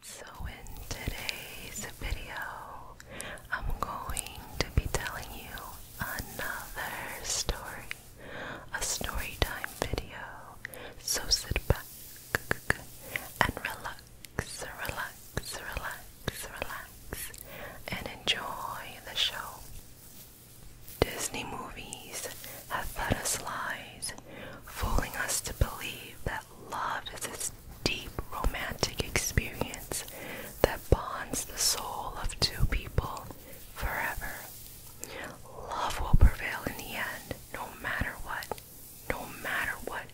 So in today's video, I'm going to be telling you another story, a story time video. So sit back and relax, relax, relax, relax, and enjoy the show. Disney movies have had us lies, fooling us to believe that love is this deep romantic experience that bonds the soul of two people forever. Love will prevail in the end, no matter what, no matter what,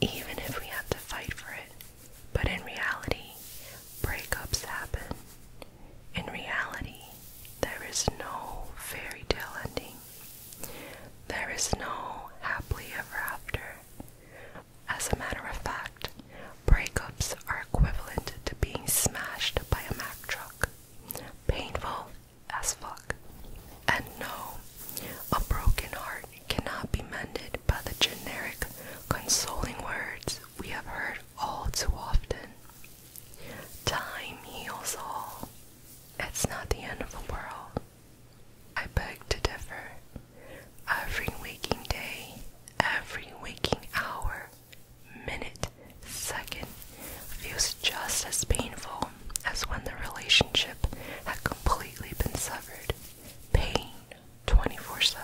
even if we have to fight for it. But in reality, breakups happen. In reality, there is no fairy tale ending. There is no happily ever after. As a matter of fact, breakups are equivalent to being smashed by a Mack truck. Painful as fuck. And no, a broken heart cannot be mended by the generic, consoling words we have heard all too often. Time heals all. It's not the end of the world. I beg to differ. Every waking day, every waking hour, minute, second feels just as painful as when the relationship had completely been severed. Pain 24 7.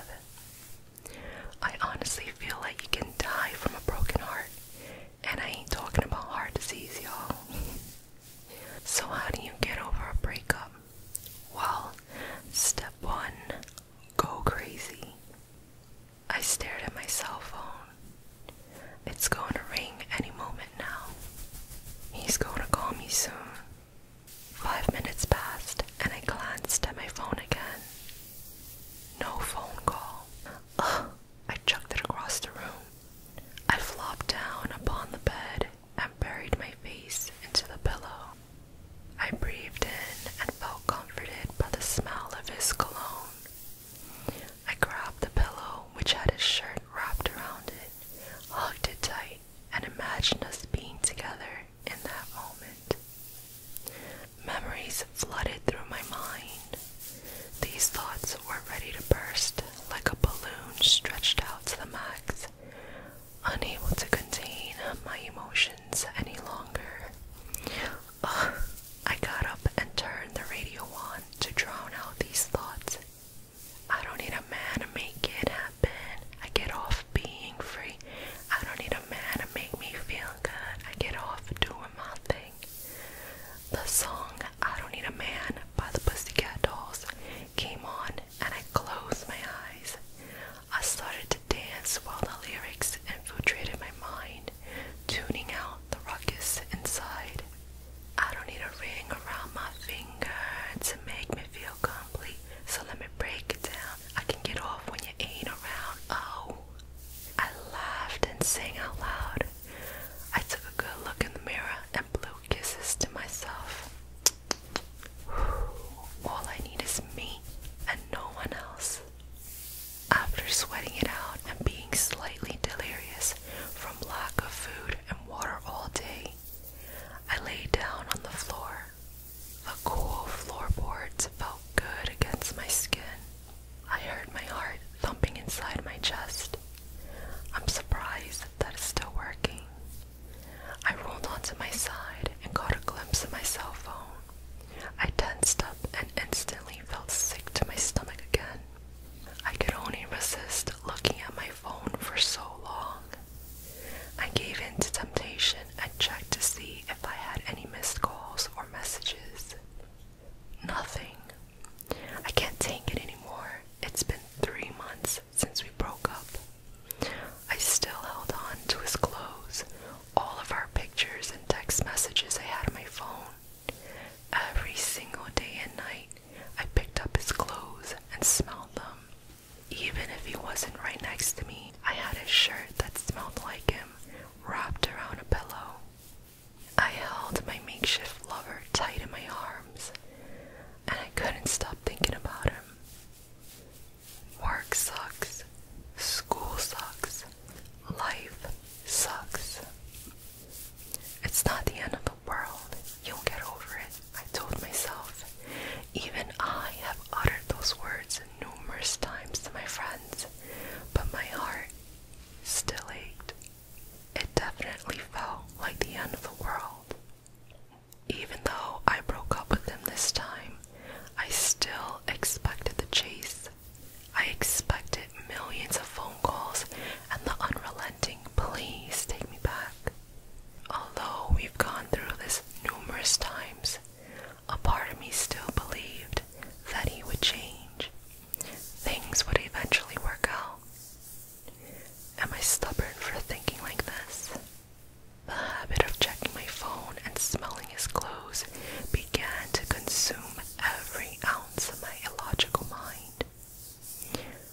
I honestly feel like you can die from a broken heart and I ain't talking about heart disease, y'all. so, how do you get over a breakup? Well, step one go crazy. I stared at my cell phone. It's going to ring any moment now. He's going to call me soon. Five minutes passed, and I glanced at my phone again. No phone call. Ugh, I chucked it across the room. I flopped down upon the bed and buried my face into the pillow. I breathed in and felt comforted by the smell of his cologne. I grabbed the pillow, which had his shirt wrapped around it, hugged it tight, and imagined us being together in that moment. Memories flooded through my mind these thoughts were ready to burst like a balloon stretched out to the max, unable to contain my emotions any longer. I got up and turned the radio on to drown out these thoughts. I don't need a man to make it happen. I get off being free. I don't need a man to make me feel good. I get off doing my thing. The song I Don't Need a Man by the Pussy Cat Dolls came on and I closed my eyes. I started to dance while the lyrics infiltrated my mind, tuning out the ruckus inside. I don't need a ring around my finger to make me feel complete, so let me break it down. I can get off when you ain't around. Oh, I laughed and sang out loud, I took a good look in the mirror and blew kisses to myself. All I need is me and no one else. After sweating it out and being slightly delirious from lack of food and water all day, I lay down on the floor. The cool floorboards felt good against my skin, I heard my heart thumping inside my chest. I'm surprised that it's still working. I rolled onto my side and caught a glimpse of my cell phone. I tensed up and instantly felt sick to my stomach again. I could only resist looking at my phone for so long. I gave in to temptation and checked to see if I had any missed calls or messages. Nothing. I can't take it anymore. It's been three months since we broke up. I still held on to his clothes, all of our pictures and text messages I had on my phone. Every single day and night, I picked up his clothes and smelled them. Even if he wasn't right next to me, I had a shirt that smelled like him wrapped around a pillow. I held my makeshift lover tight in my arms, and I couldn't stop thinking about him. Work sucks, school sucks, life sucks. It's not the end of the world, you'll get over it, I told myself. Even I have uttered those words numerous times to my friends, but my heart still ached. It definitely felt like the end of the world. Even though I broke up with him this time, I still expected the chase. I expected millions of phone calls and the unrelenting, please take me back. Although we've gone through this numerous times, a part of me still believed that he would change. Things would eventually work out. Am I stubborn for thinking like this? The habit of checking my phone and smelling his clothes began to consume every ounce of my illogical mind.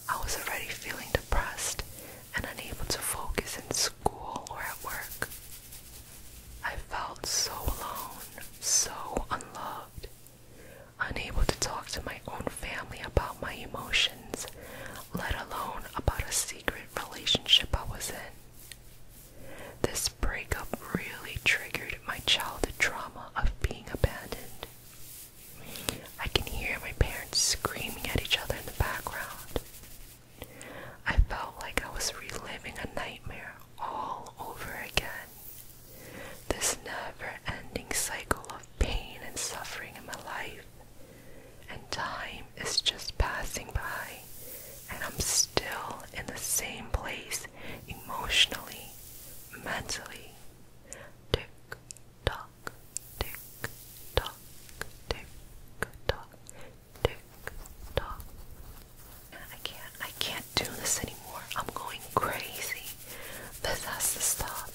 I was already feeling depressed and unable to focus in school or at work. I felt so alone, so unloved, Unable to talk to my own family about my emotions, let alone about a secret relationship I was in. This breakup really triggered my childhood trauma of being abandoned. I can hear my parents screaming at each other in the background. I felt like I was reliving a nightmare all over again. This never ending cycle of pain and suffering in my life. And time is just passing by, and I'm still in the same place emotionally, mentally. Tick tock, tick tock, tick tock, tick tock, I can't, I can't do this anymore. I'm going crazy. This has to stop.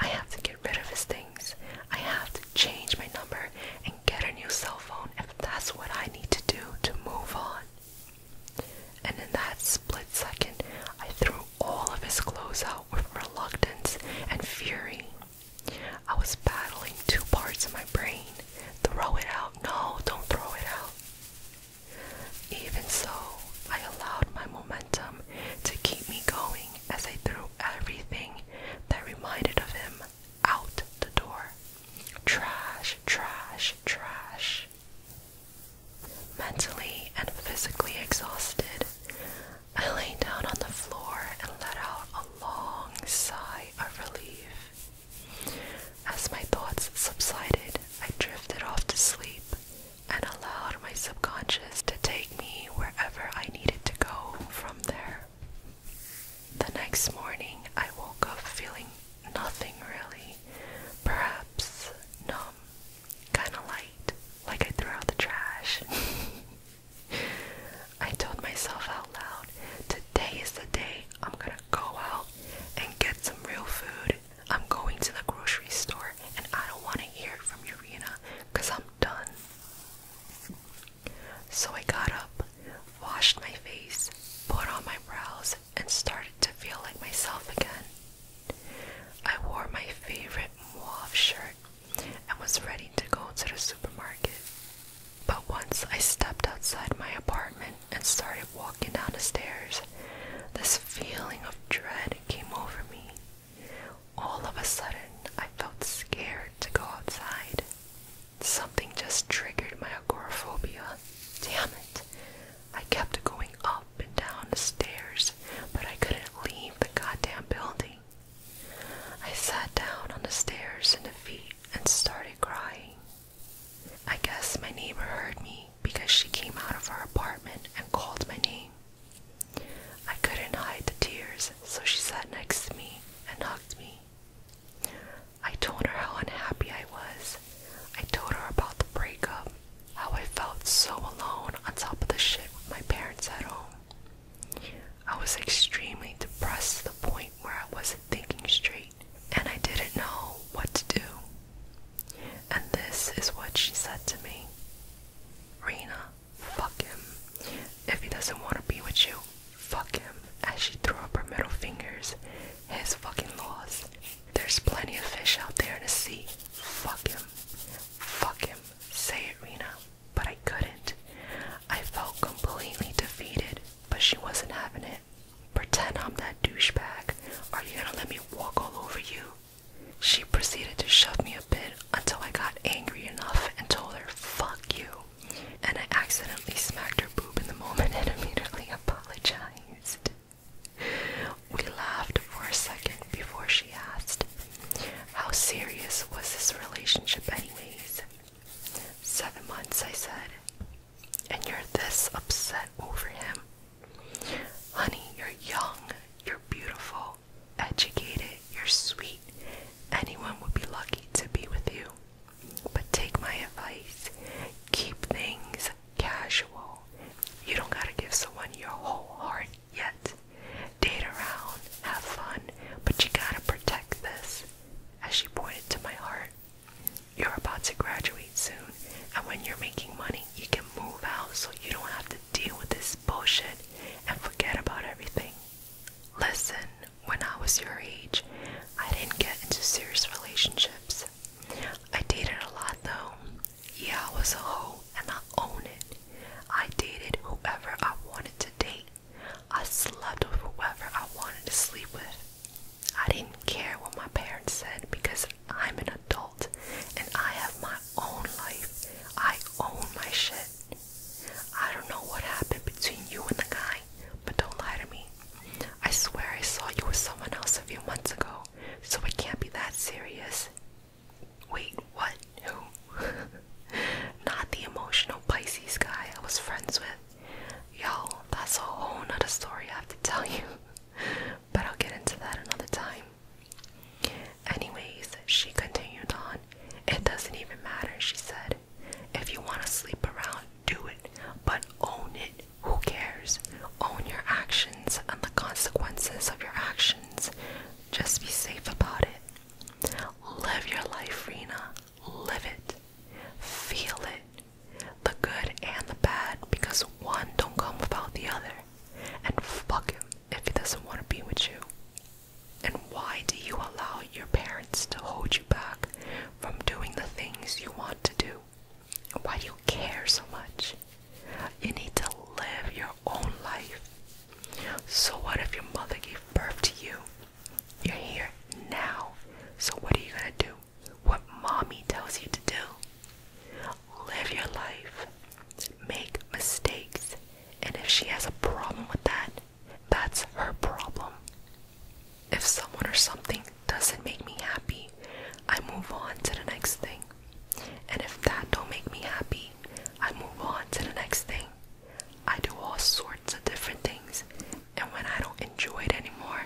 I have to get rid of his things. I have to change my number and get a new cell phone if that's what I need to do to move on. And in that split second, I threw all of his clothes out with reluctance and fury. I was battling two parts of my brain. Throw it out. No, don't throw it out. Even so, I allowed my momentum to keep me going as I threw everything that reminded of him out the door. Trash, trash, trash. Mentally and physically exhausted, I lay down on the floor and let out a long sigh of relief. As my thoughts subsided, I drifted off to sleep and allowed my subconscious to take me wherever I needed to go from there. The next morning, I woke up feeling nothing really, perhaps numb, kinda light, like I threw out the trash. I told myself out loud, today is the day I'm gonna go out and get some real food I'm going to the grocery store and I don't want to hear from Urena because I'm done. So I got up, washed my face, put on my brows, and started to feel like myself again. I wore my favorite mauve shirt and was ready to go to the supermarket. But once I stepped outside my apartment, and started walking down the stairs. This feeling of dread came over me. All of a sudden, I felt scared to go outside. Something just triggered my agoraphobia. Damn it. I kept going up and down the stairs, but I couldn't leave the goddamn building. I sat down on the stairs in defeat and started crying. I guess my neighbor heard me because she came out of her apartment and called my name. I couldn't hide the tears, so she sat next to me and hugged me. I told her how unhappy I was. I told her about the breakup, how I felt so alone on top of the shit with my parents at home. I was extremely depressed to the point where I wasn't thinking straight and I didn't know what to do. And this is what she said to me Rena, fuck him. If he doesn't want to be with you, fuck him. As she threw up her middle fingers, his fucking loss. There's plenty of fish out there in the sea. Fuck him. Fuck him. Say it, Rena. But I couldn't. I felt completely defeated, but she wasn't having it. Pretend I'm that douchebag. Are you gonna let me walk all over you? She proceeded to shove me a bit until I got angry enough and told her, fuck you. And I accidentally smacked her boob in the moment and immediately apologized. We laughed for a second before she asked, How serious was this relationship, anyways? Seven months, I said and you're this upset over him. Honey, you're young, you're beautiful, educated, you're sweet. Anyone would be lucky to be with you. But take my advice keep things casual. You don't gotta give someone your whole heart yet. Date around, have fun, but you gotta protect this. As she pointed to my heart, you're about to graduate soon, and when you're making money, you can move out so you don't have to deal with this bullshit and forget about everything. Listen, when I was your age, I didn't get into serious relationships. I dated a lot though. Yeah, I was a hoe and I own it. I dated whoever I wanted to date. I slept with whoever I wanted to sleep with. I didn't care what my parents said because I'm an adult and I have my own life. I own my shit. I don't know what happened between you and the guy, but don't lie to me. I swear I saw you with someone else a few months ago, so it can't be that serious. Wait, what? Who? Not the emotional Pisces guy I was friends with. Y'all, that's a whole nother story I have to tell you. but I'll get into that another time. Anyways, she continued on. It doesn't even matter, she said. If you want to sleep around, do it, but own it. Who cares? Own your actions and the consequences of your actions. Just be safe about it. Live your life, Rena. Live it. Feel it the good and the bad, because one don't come without the other. And fuck him if he doesn't want to be with you. And why do you allow your parents to hold you back from doing the things you want to do? Why do you care so much? You need to live your own life. So, what if your mother gave birth to you? You're here now. So, what are you gonna do? what mommy tells you to do. Live your life, make mistakes, and if she has a problem with that, that's her problem. If someone or something doesn't make me happy, I move on to the next thing. And if that don't make me happy, I move on to the next thing. I do all sorts of different things and when I don't enjoy it anymore,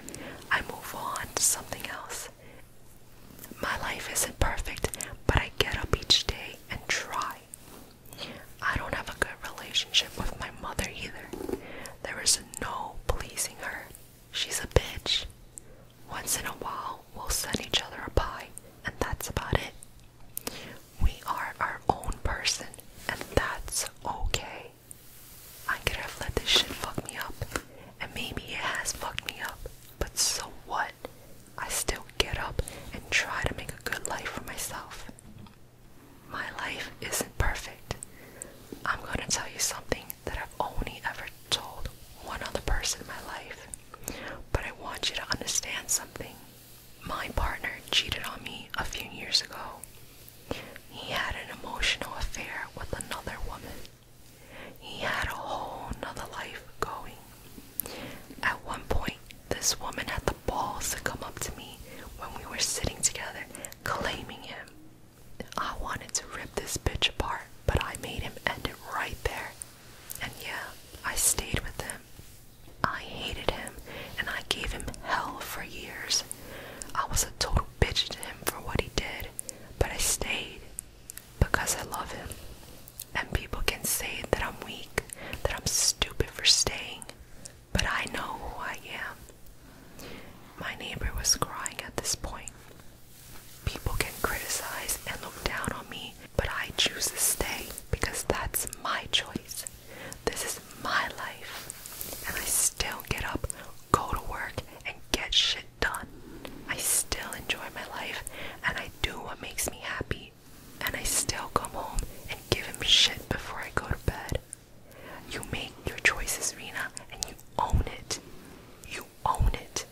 I move on to something else. My life isn't perfect, but I get up each day and try. I don't have a good relationship with my mother either. There is no pleasing her. She's a bitch. Once in a while, we'll send each other a pie, and that's about it. We are our own person, and that's okay. I could have let this shit fuck me up, and maybe it has fucked me up, but so what? I still get up and try to make a good life for myself. My life isn't perfect. I'm gonna tell you something that I've only ever told one other person in my life, but I want you to understand something. My partner cheated on me a few years ago. He had an emotional affair with another woman. He had a whole other life going. At one point, this woman had the balls to come up to me when we were sitting together, claiming him. I wanted to rip this bitch apart, but I made him end it right there. And yeah, I stayed with him. I hated him, and I gave him hell for years. I was a total bitch to him for what he did, but I stayed because I love him. And people can say that I'm weak, that I'm stupid for staying, but I know who I am. My neighbor was crying at this point. People can criticize and look down on me, but I choose to stay because that's my choice. This is my life, and I still get up go to work and get shit done. I still enjoy my life and I do what makes me happy. And I still come home and give him shit before I go to bed. You make your choices, Rena, and you own it. You own it.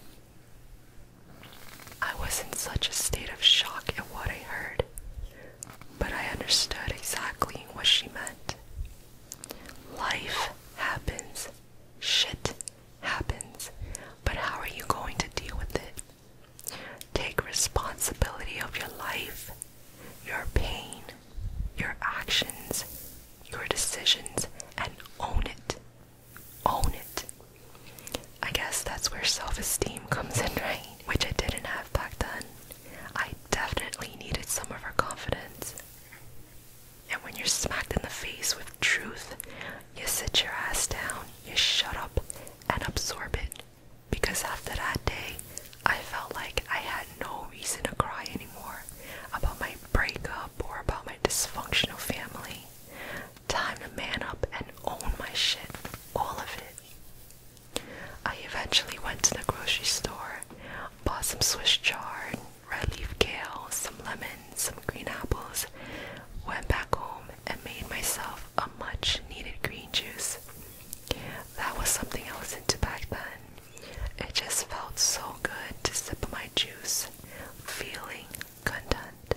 I was in such a state of shock at what I heard, but I understood exactly what she meant. Life happens. Shit happens. But how are you going to deal with it? Take responsibility of your life, your pain, your actions, your decisions, and own it. Own it. I guess that's where self esteem comes in, right? Which I didn't have back then. I definitely needed some of her confidence. And when you're smacked in the face with truth, you sit your ass down, you shut up, and absorb it. Because after that day, I felt like I had no reason to cry anymore about my breakup or about my dysfunctional family. Time to man up and own my shit, all of it. I eventually went to the grocery store, Bought some Swiss chard, red leaf kale, some lemons, some green apples. Went back home and made myself a much needed green juice. That was something I was into back then. It just felt so good to sip my juice, feeling content.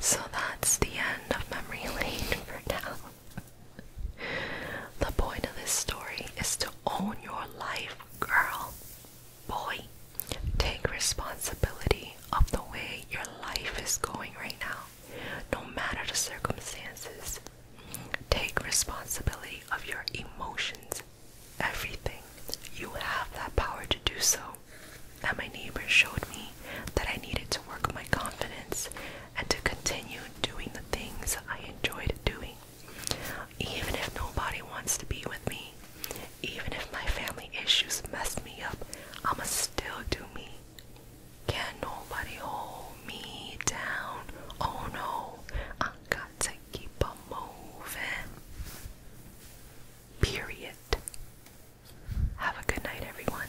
So that's the end of memory lane for now the point of this story is to own your life, girl, boy. Take responsibility of the way your life is going right now, no matter the circumstances. Take responsibility of your emotions, everything. You have that power to do so. And my neighbor showed me that I needed to work my confidence and to continue doing the things I enjoyed doing. Even if nobody wants to be with me, even if my family issues mess me up, I'ma still do me. Can nobody hold me down? Oh no, I got to keep on moving. Period. Have a good night, everyone.